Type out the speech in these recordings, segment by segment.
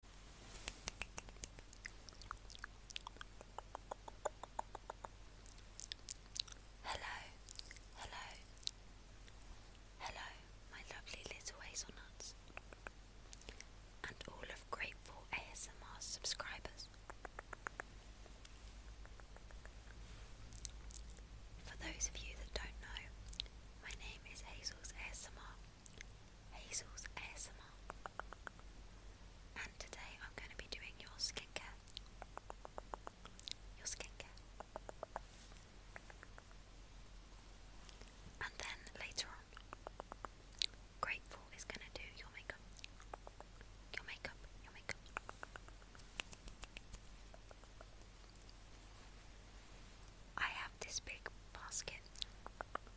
Hello, hello, hello, my lovely little hazelnuts, and all of grateful ASMR subscribers. For those of you that don't know, my name is Hazel's ASMR, Hazel's ASMR. And today I'm going to be doing your skincare. Your skincare. And then later on, Grateful is going to do your makeup. Your makeup, your makeup. I have this big basket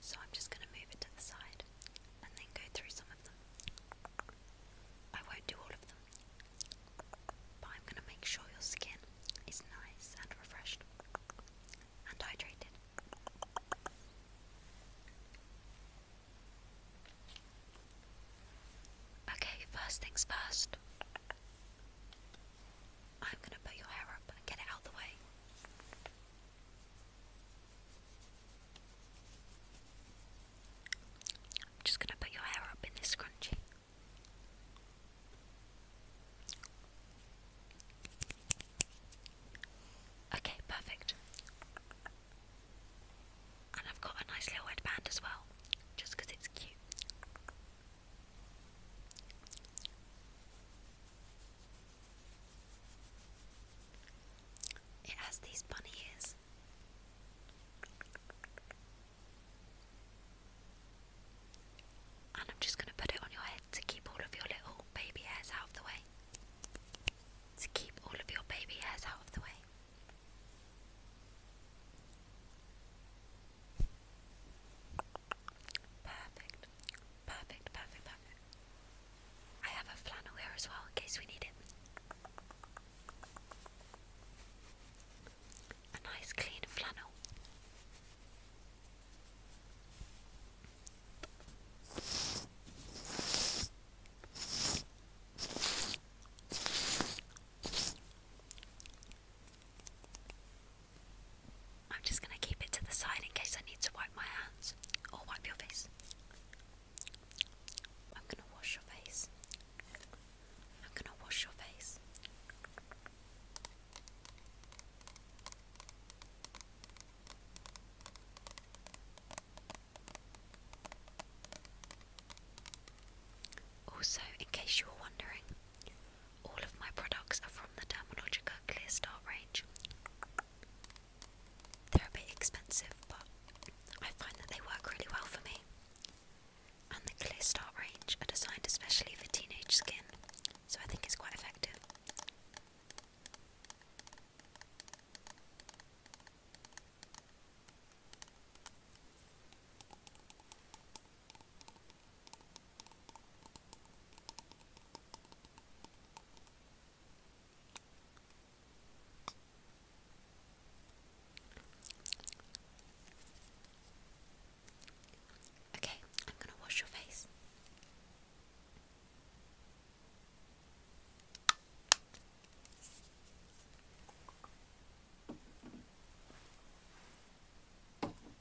So I'm just going to move it to the side and then go through some of them. I won't do all of them, but I'm going to make sure your skin is nice and refreshed and hydrated. Okay, first things first. I'm going to put your hair up and get it out of the way. I'm just going to put your hair up in this scrunchie. Okay, perfect. And I've got a nice little headband as well, just it's cute. It has these bunny ears. And I'm just going to put it on your head to keep all of your little baby hairs out of the way. To keep all of your baby hairs out of the way. Perfect. Perfect, perfect, perfect. I have a flannel here as well in case we need it. A nice clean flannel. I'm just going to keep it to the side in case I need to wipe my hands or wipe your face. I'm going to wash your face. I'm going to wash your face. Also, in case you were wondering, all of my products are from the Dermalogica Clear Start range. They're a bit expensive, but I find that they work really well for me. And the Clear Start range are designed especially for teenage skin, so I think it's quite effective. Okay, I'm going to wash your face.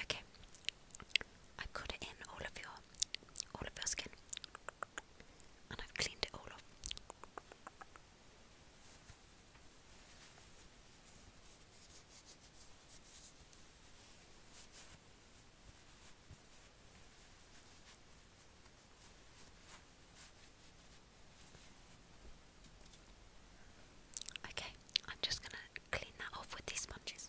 Okay. I've it in all of your all of your skin. And I've cleaned it all off. Okay, I'm just going to clean that off with these sponges.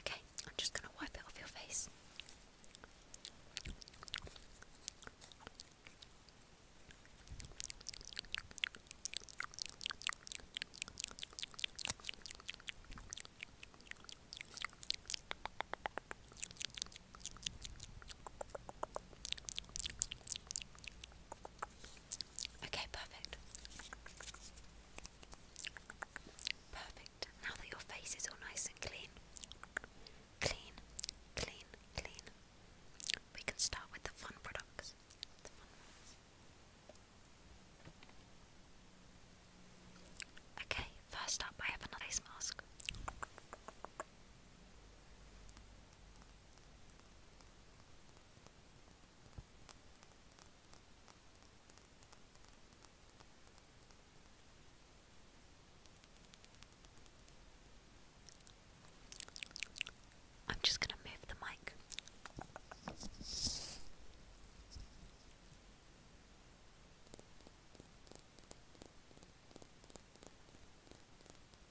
Okay, I'm just going to wipe it off your face. Okay, perfect. Perfect. Now that your face is all nice and clean, clean, clean, clean, we can start with the fun products. Okay, first up, I have another face mask. I'm just going to move the mic.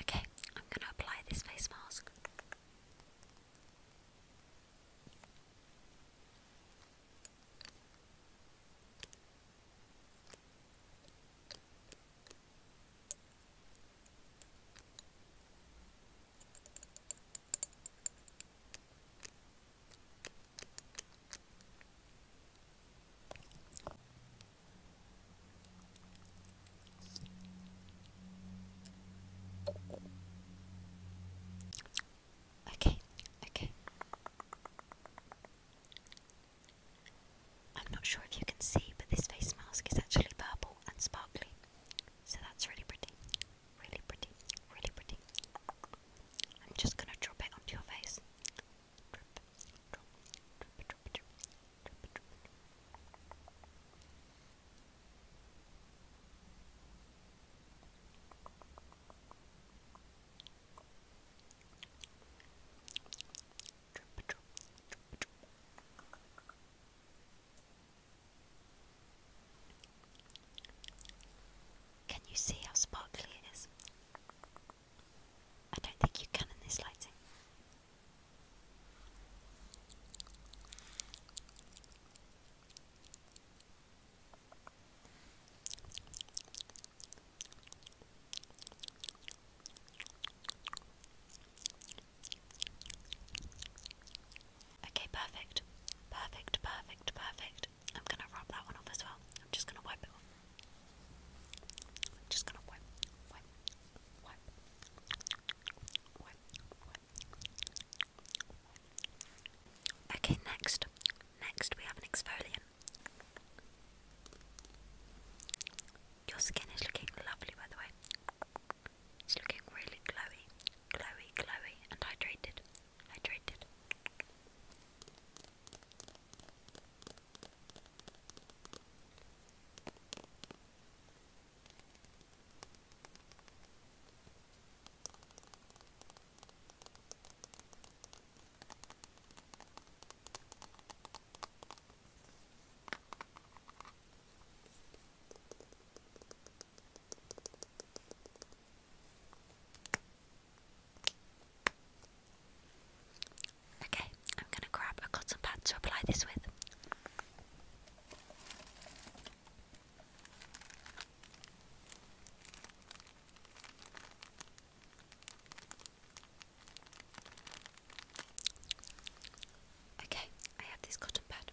Okay, I'm going to apply this face mask. Okay, okay. I'm not sure if you can see, but this face mask is actually purple and sparkly, so that's really pretty. Really pretty, really pretty. I'm just gonna drop it onto your face. Can you see how sparkly it is? I don't think you can in this lighting. Okay, perfect. Perfect, perfect, perfect. I'm gonna rub that one off as well. I'm just gonna wipe it off. I'm just gonna wipe, wipe, wipe, wipe, wipe. Okay, next. Next, we have an exfoliant. Your skin is looking lovely, by the way. It's looking really glowy, glowy, glowy, and hydrated, hydrated. Okay, I'm going to grab a cotton pad to apply this with. Okay, I have this cotton pad.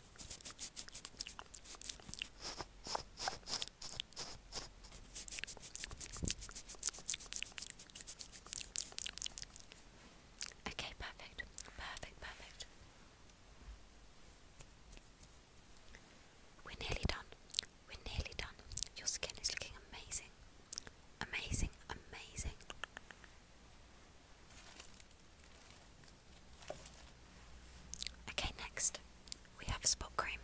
Okay, perfect, perfect, perfect. We're nearly done. We're nearly done. Your skin is looking amazing. Amazing, amazing. Okay, next we have spot cream.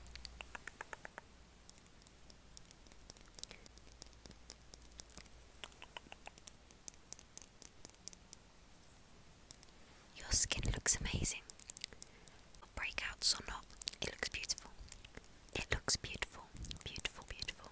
Your skin looks amazing. Breakouts or not, it looks beautiful. It looks beautiful, beautiful, beautiful.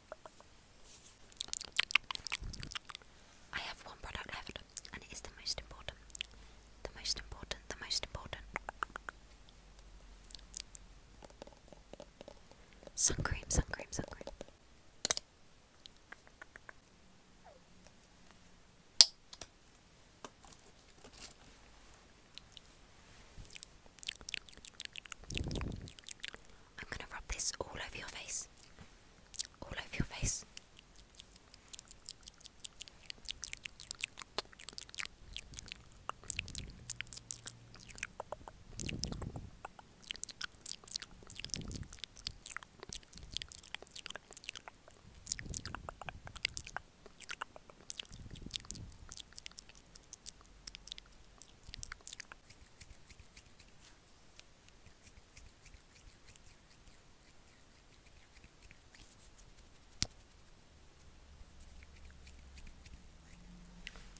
I have one product left, and it is the most important. The most important, the most important. Sun cream, sun cream, sun cream. I'm going to rub this all over your face. All over your face.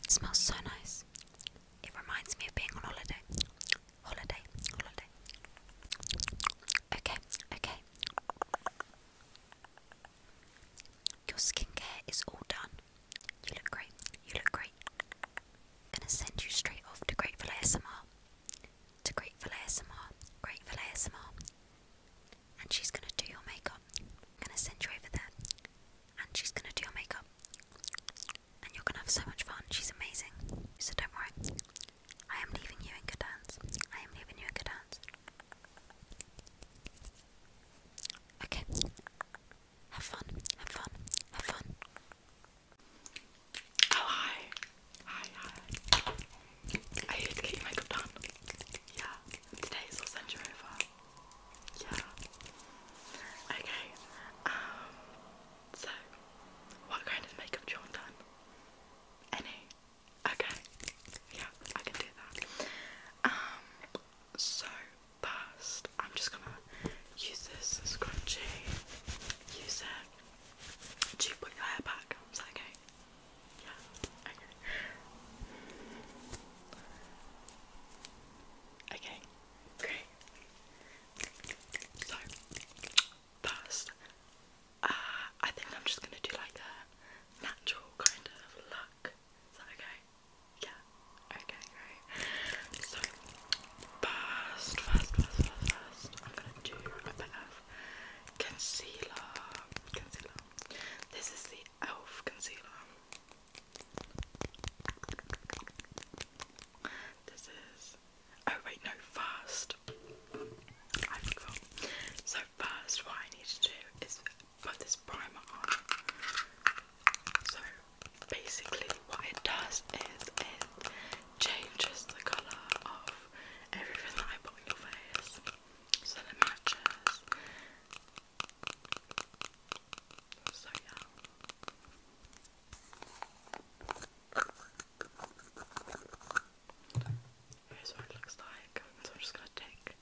It smells so nice. It reminds me of being on holiday. Holiday, holiday. Okay, okay. Your skincare is all done. You look great. You look great. Gonna send you straight off to Grateful ASMR. To Grateful ASMR. Grateful ASMR. And she's gonna do your makeup. I'm gonna send you over there. And she's gonna do your makeup. And you're gonna have so much fun. She's amazing. So don't worry. I am leaving you in good hands. I am leaving you in good hands. Okay. Have fun, have fun, have fun. Oh, hi. Hi, hi. I hate to makeup done. Yeah, today is all sent you over. Yeah. Okay, um, so, what kind of makeup do you want done? Any? Okay. Yeah, I can do that. Um, so, past. I'm just gonna use this scrunchie, use it to put your hair back. Is that okay? Yeah, okay. Okay, great. So, first, uh, I think I'm just gonna do like a natural kind of look. Is that okay? Yeah. Okay, great. So first, first, first, first, first, I'm gonna do a bit of concealer. Concealer. This is the Elf concealer. This is. Oh wait, no. First, So first, what I need to do is got this primer on. So basically, what it does is it changes the colour of everything that I put on your face so it matches. So, yeah. Here's what it looks like. So I'm just gonna take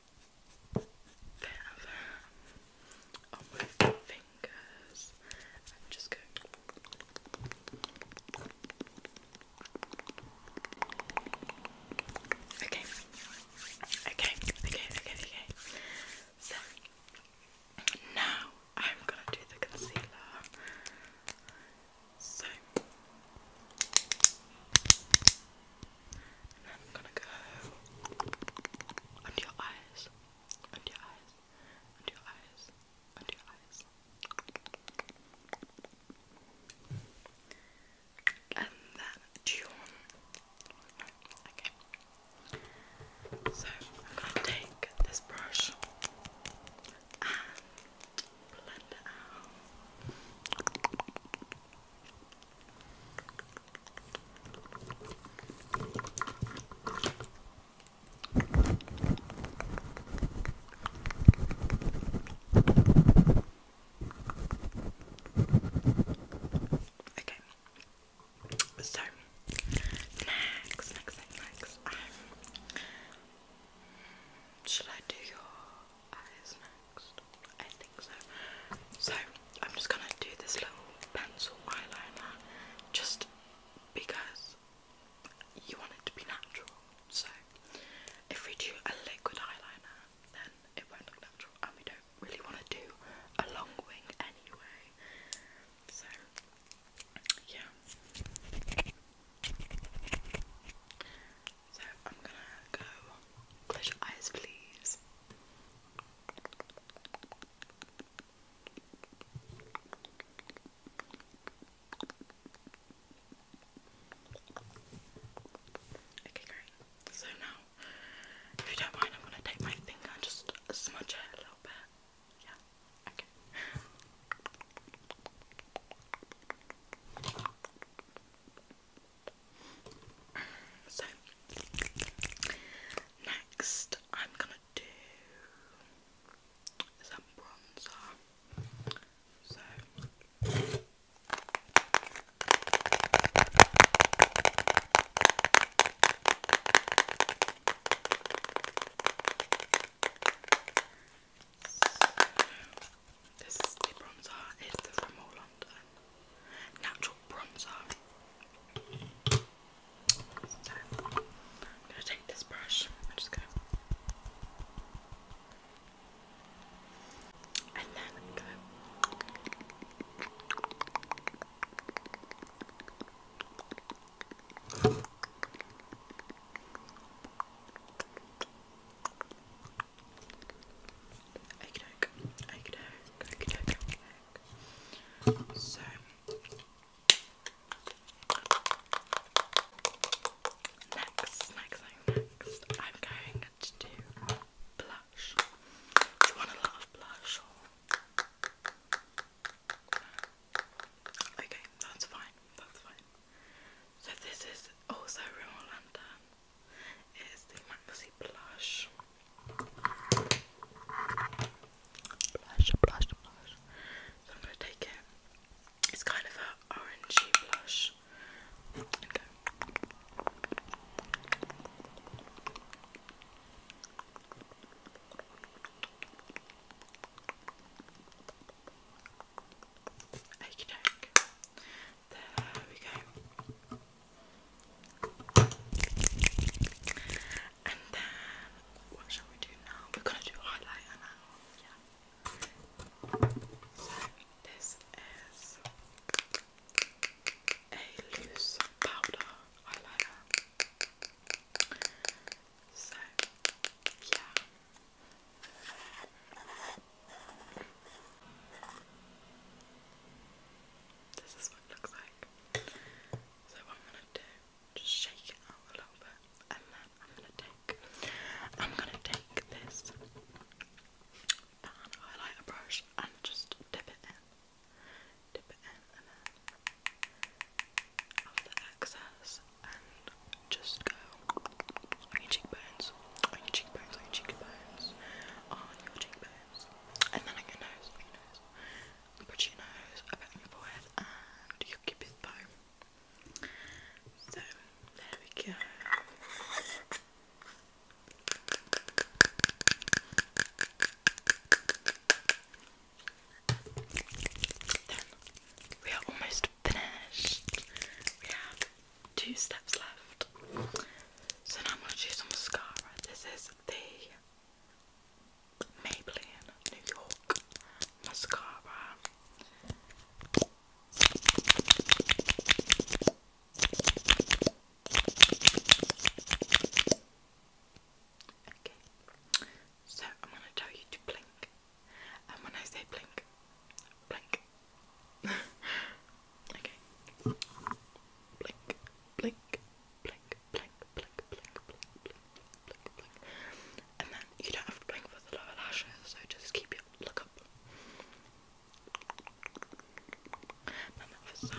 Okay. Okay, okay, okay, okay. So now I'm gonna do the concealer. So and then I'm gonna go under your eyes, under your eyes, under your eyes, under your eyes. And then do okay. So I'm gonna take this brush and blend it out. Okay. So next, next, next, next. Um, should I do your eyes next. I think so. So I'm just gonna do this little pencil eyeliner just because you want it to be natural. So if we do a liquid eyeliner then it won't look natural and we don't really want to do a long wing anyway. So yeah. So I'm gonna go. Close your eyes, please. Okay, great. So now, if you don't mind, I'm gonna take my finger and just smudge it a little bit. Yeah. Okay. So next I'm gonna do some bronzer. So this is the bronzer, it's the From London Natural Bronzer. I'm going to take this brush, I'm just going to okey So, next, next, next, I'm going to do blush. Do you want a lot of blush Okay, that's fine, that's fine. So this is also Rimmel London. It is the Mac Pussy blush. Blush, blush, So I'm gonna take it. It's kind of an orangey blush. Okie doke. There we go. And then, what shall we do now? We're gonna do highlighter Yeah. So, this is a loose powder highlighter. So, yeah. This is what it looks like. So I'm gonna do, just shake it out a little bit, and then I'm gonna take, I'm gonna take this pan highlighter brush and just dip it in, dip it in, and then of the excess, and just go on your cheekbones, on your cheekbones, on your cheekbones, on your cheekbones, and then on your nose, on your nose, put your nose up your forehead, and your cupid's bow. So there we go. we are almost finished. We have two steps left. So now I'm going to do some mascara. This is the Maybelline New York mascara. Okay, so I'm going to tell you to blink and when I say blink, blink. okay. Blink, blink, blink, blink, blink, blink, blink, blink, blink, blink. And then you don't have to blink for the lower lashes, so just keep your look up. And the side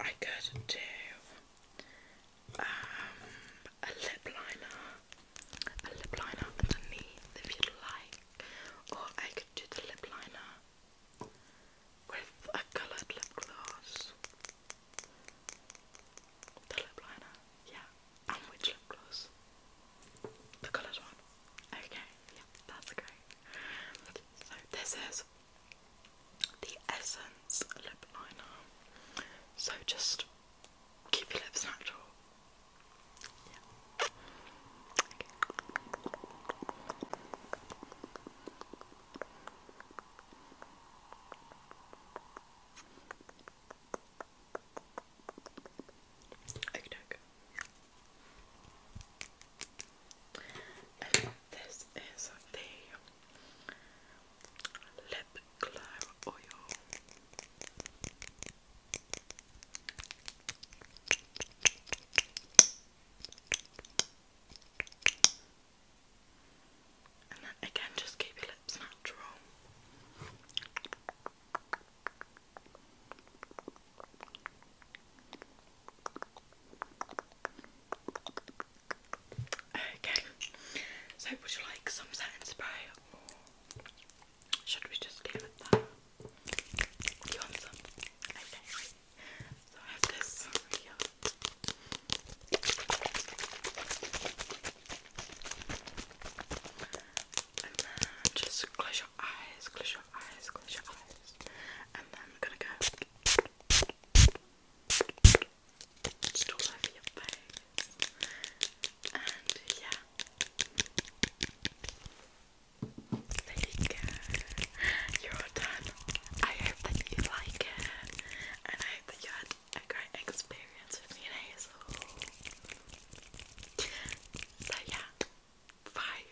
I could do um, a lip liner, a lip liner underneath if you'd like, or I could do the lip liner with a coloured lip gloss. The lip liner, yeah. And which lip gloss? The coloured one. Okay, yeah, that's great. So this is the Essence lip liner. So just keep your lips natural. Yeah. Okay. This is the lip glow oil. And again, just keep your lips natural. Okay, so would you like some setting spray should we just leave it there? you want some? Okay, so I have this just close your eyes, close your eyes, close your eyes. And then we're gonna go. Just And yeah. There you You're done. I hope that you like it. And I hope that you had a great experience with me and Hazel. So yeah. Bye.